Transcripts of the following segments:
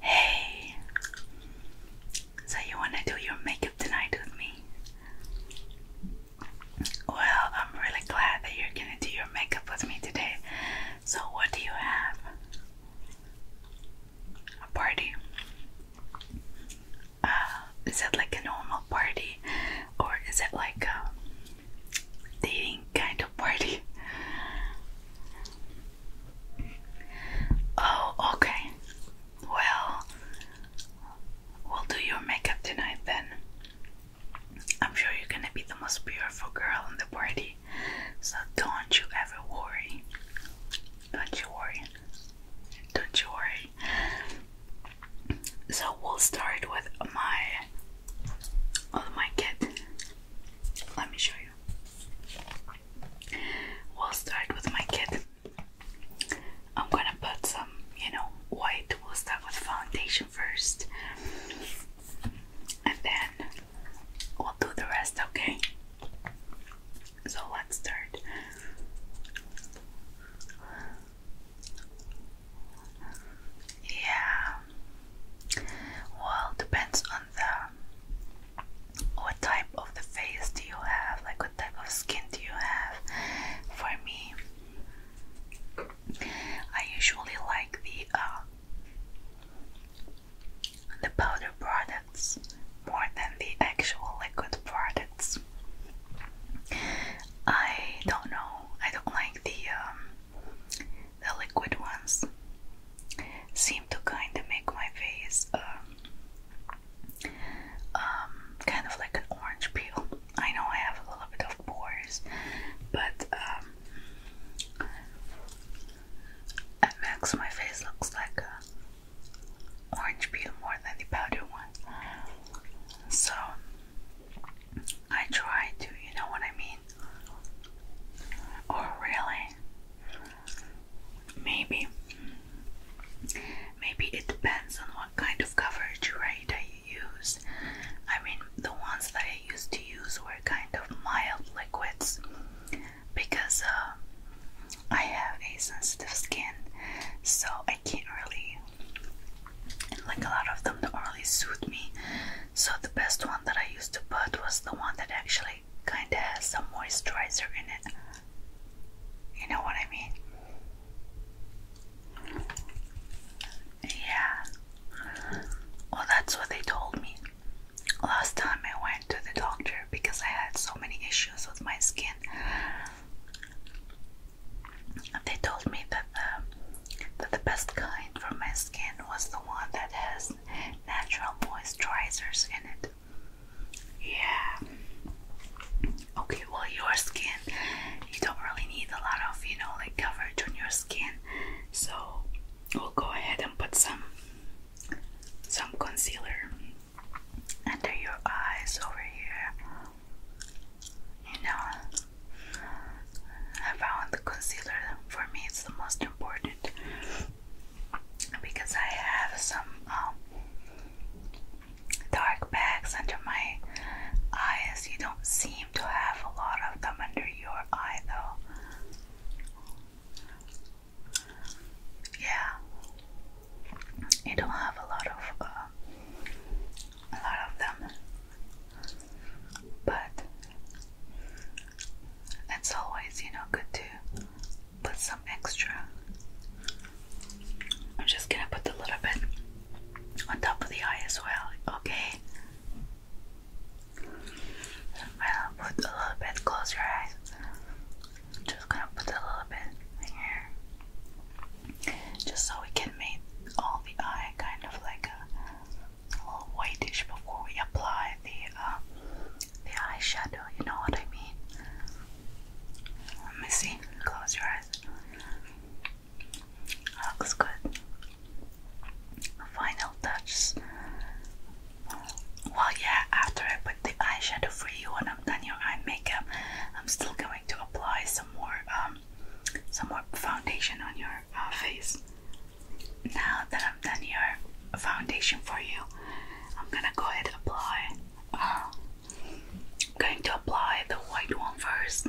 Hey, so you want to do your makeup tonight with me? Well, I'm really glad that you're gonna do your makeup with me today. So, what do you have? A party? Uh, is it like a normal party or is it like a um, dating? kind of wordy. Oh, okay. Well, we'll do your makeup tonight then. I'm sure you're gonna be the most beautiful girl in the party, so don't you ever worry. Don't you worry. Don't you worry. So we'll start with my, all my kit. Let me show you. We'll start with my kit. I'm gonna put some, you know, white. We'll start with foundation first. And then we'll do the rest, okay? So let's start. Yeah, well depends on the what type of the face do you have like what type of skin do you have for me I usually like the uh, the powder products more than the actual liquid products I don't know I don't like the um, the liquid ones seem to kind of make my face um, um, kind of like an orange peel. I know I have a little bit of pores, but um, at max my face looks like an orange peel more than the powder one. So I try to, you know what I mean? Or really? Maybe. Maybe it depends on what kind of coverage right that you use. I mean, the ones that I used to use were kind of mild liquids because uh, I have a sensitive skin, so I can't really. like a lot of them, don't really suit me. So the best one that I used to put was the one that actually kinda has some moisturizer in it. You know what I mean? Yeah. Well, that's what they told me last time I went to the doctor because I had so many issues with my skin. They told me that um, the best kind for my skin was the one that has natural moisturizers in it. Yeah. Okay, well, your skin, you don't really need a lot of, you know, like coverage on your skin. So we'll go ahead and put some some concealer under your eyes over here. You know, I found the concealer for me it's the most important because I have some um, dark bags under my eyes. You don't seem to have a lot of them under your eye though. Yeah, you don't have a lot of uh, a lot of them but it's always, you know, good to put some extra. I'm just gonna put a little bit on top of the eye as well, okay? I'll put a little bit, close your eyes. just gonna put a little bit here. Just so we can make all the eye kind of like a a little whitish before we apply the uh, the eyeshadow. You know what I mean? Let me see. Close your eyes. looks good. Final touches. Well, yeah. After I put the eyeshadow for you and I'm done your eye makeup, I'm still going to apply some more um, some more foundation on your uh, face. Now that I've done your foundation for you, I'm gonna go ahead and apply. I'm uh, going to apply the white one first,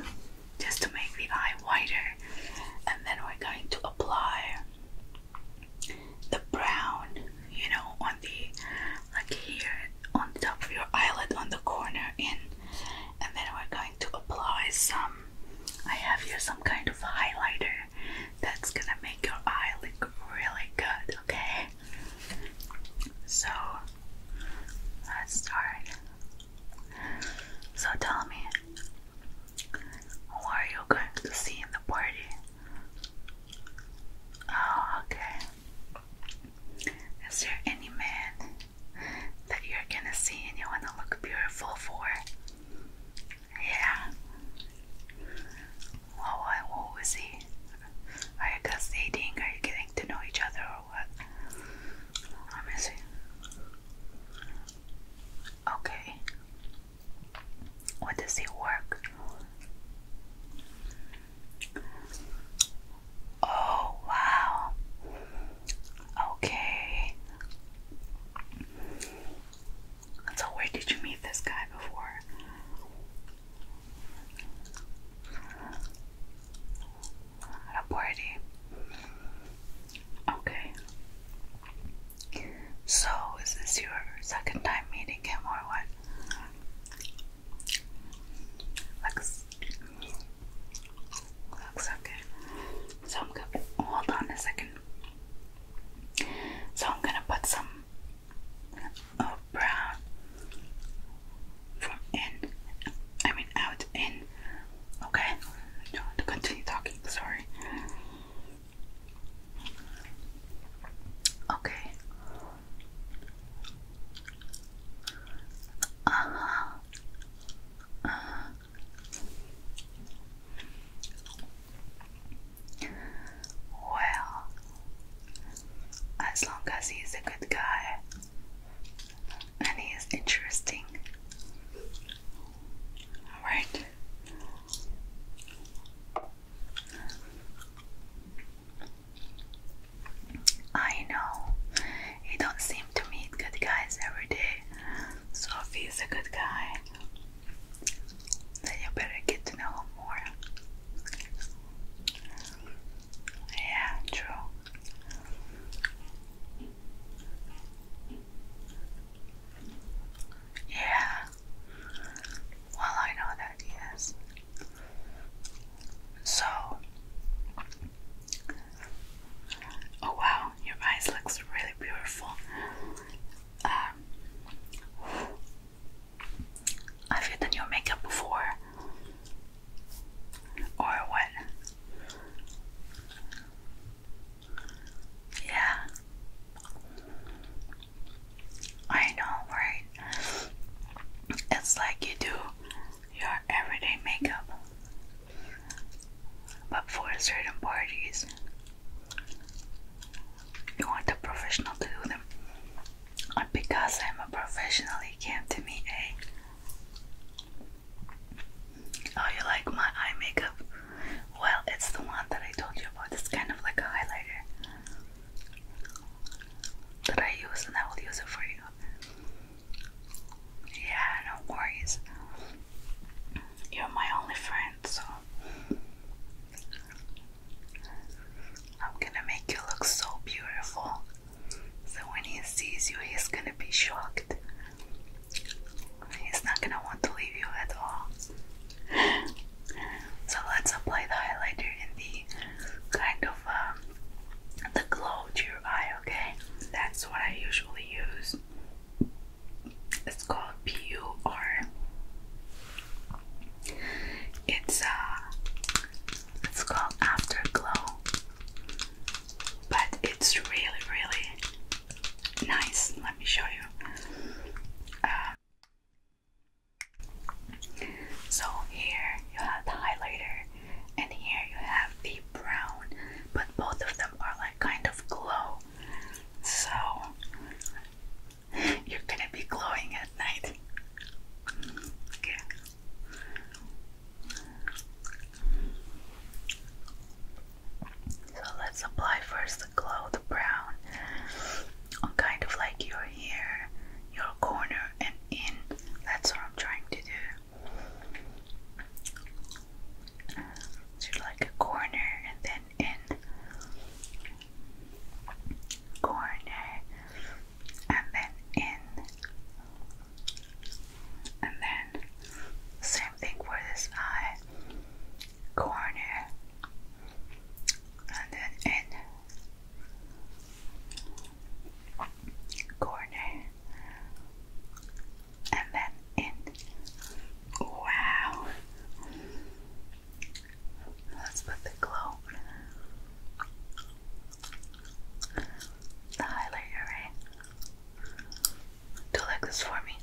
just to make the eye whiter, and then we're going to apply the brown, you know, on the like here on the top of your eyelid on the corner in and then we're going to apply some I have here some kind of highlighter that's gonna make your eye look really good, okay? So, let's start. So, tell me, what are you going to see in the party? Oh, okay. Is there any man that you're gonna see and you wanna look beautiful for. Yeah. Well, what, was he? Are you guys dating? Are you getting to know each other or what? Let me see. Okay. What does he work? Oh wow. Okay. So, where did you meet this guy before? At party. Okay. So, is this your second time meeting him or what? Looks okay. So I'm gonna hold on a second. So I'm gonna put some uh, brown in, I mean out in. Okay, I to continue talking. Sorry. Okay. Uh well, as long as he's a good guy and he is interesting, alright. I know he don't seem to meet good guys every day. So if he's a good guy, then you better get to know him more. Yeah, true. Yeah. Well, I know that, yes. So, Oh wow, your eyes looks really beautiful. Um, have done your makeup before, or what? Yeah, I know, right? It's like you do your everyday makeup. But for certain parties, you want a professional to do them. And because I'm a professional, he came to me, hey, oh, you like my eye makeup? Well, it's the one that I told you about. It's kind of like a highlighter that I use, and I will use it for you. Yeah, no worries. You're my only friend, so I'm gonna make you look so beautiful. So when he sees you, he's gonna be shocked. He's not gonna want to leave you at all. So let's apply the highlighter in the kind of um, the glow to your eye, okay? That's what I usually use. It's called PUR. It's uh it's called Afterglow. But it's really really nice. Let me show you. Uh, so here you have the highlighter and here you have the brown, but both of them are like kind of glow. So you're gonna be glowing at night. Okay. So let's apply first the glow, the brown, on kind of like your hair, your corner, and in. That's what I'm trying to do to like a corner and then in corner and then in and then same thing for this eye corner and then in corner and then in. Wow. Let's put the glow. The highlighter, right? Do like this for me.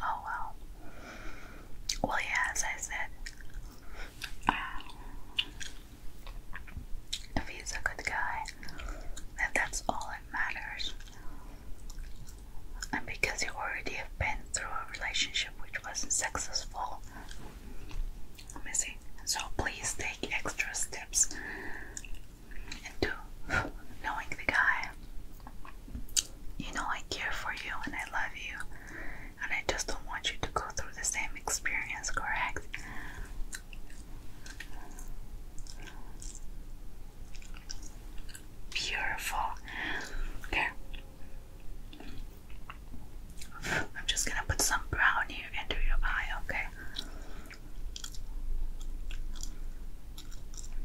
Oh wow. Well yeah, as I said, if he's a good guy, then that's all that matters. And because you already have been through a relationship which wasn't successful, missing. So please take extra steps into knowing the guy. You know I care for you and I love you and I just don't want you to go through the same experience, correct? Beautiful. Okay. I'm just gonna put some brown here into your eye, okay?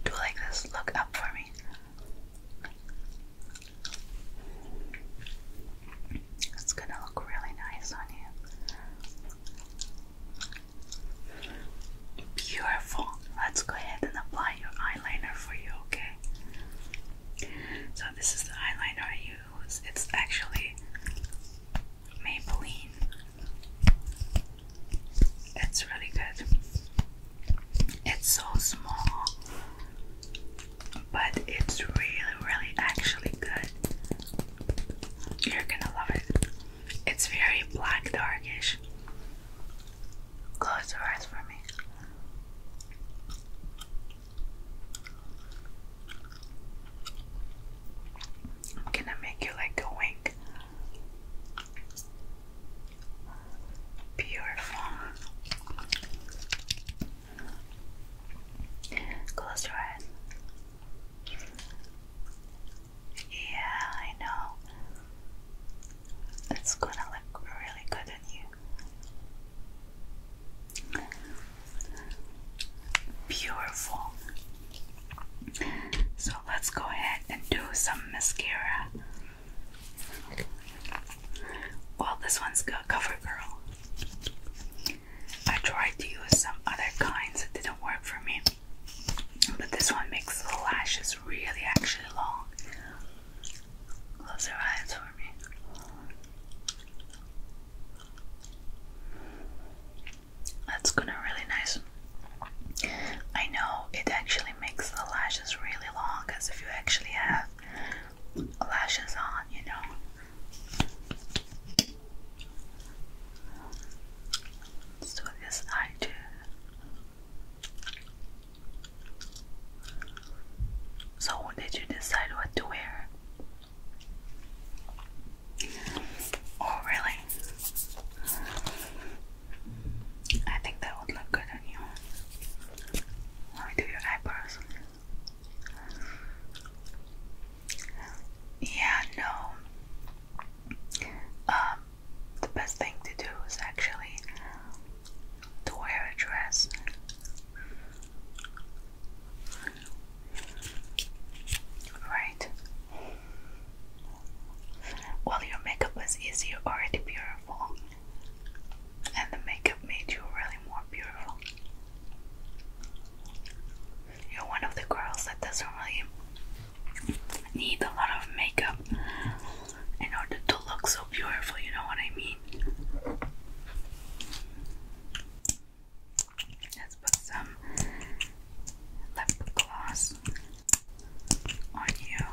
Do like this. Look up for me. It's gonna look really nice on you. Beautiful. Let's go ahead and apply your eyeliner for you, okay? So, this is the eyeliner I use. It's actually Maybelline. It's really good. It's so small but it's really, really actually good. You're gonna love it. It's very black, darkish. Close your eyes for me. I'm gonna make you like a wink. Beautiful. Close your eyes. Yeah, I know. It's gonna look really good on you. Beautiful. So let's go ahead and do some mascara. Well, this one's got I tried to use some other kinds that didn't work for me, but this one makes the lashes really actually long. Close your eyes for me. That's gonna really nice. I know it actually makes the lashes really long as if you actually have lashes on, you know. Let's do So, did you decide what to wear? Oh, really? I think that would look good turn you on. Let me do your eyebrows. Yeah, no. Um, the best thing to do is actually to wear a dress. Right. Well, your makeup is easy, already beautiful and the makeup made you really more beautiful. You're one of the girls that doesn't really need a lot of makeup in order to look so beautiful, you know what I mean? Let's put some lip gloss on you.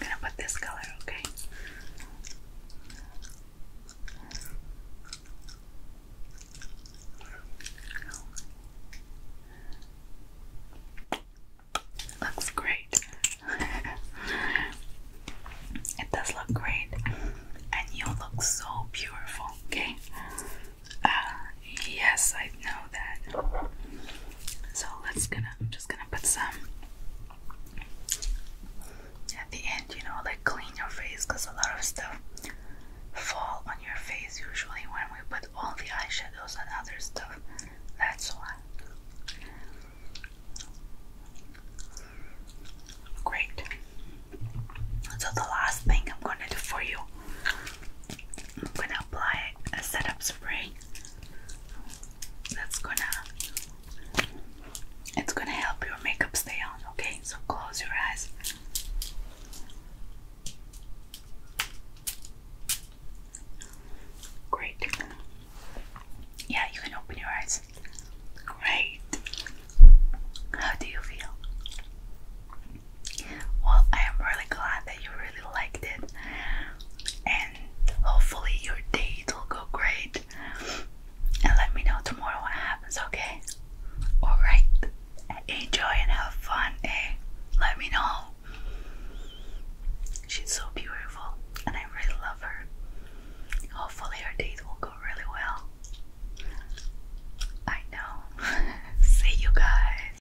I'm gonna put this color, okay? Looks great. it does look great, and you look so beautiful. Okay. Uh, yes, I know that. So let's I'm just gonna put some at the end, you know, like clean your face because a lot of stuff fall on your face usually when we put all the eyeshadows and other stuff. That's why. Great. So the last thing I'm gonna do for you, I'm gonna apply a setup spray. That's gonna it's gonna help your makeup stay on, okay? So close your eyes. Great. Yeah, you can open your eyes. Great. How do you feel? Well, I am really glad that you really liked it, and hopefully, your date will go great. And let me know tomorrow what happens, okay? Alright, enjoy and have fun, eh? Let me know. She's so beautiful, and I really love her. Hopefully, her date will go really well. I know. See you guys.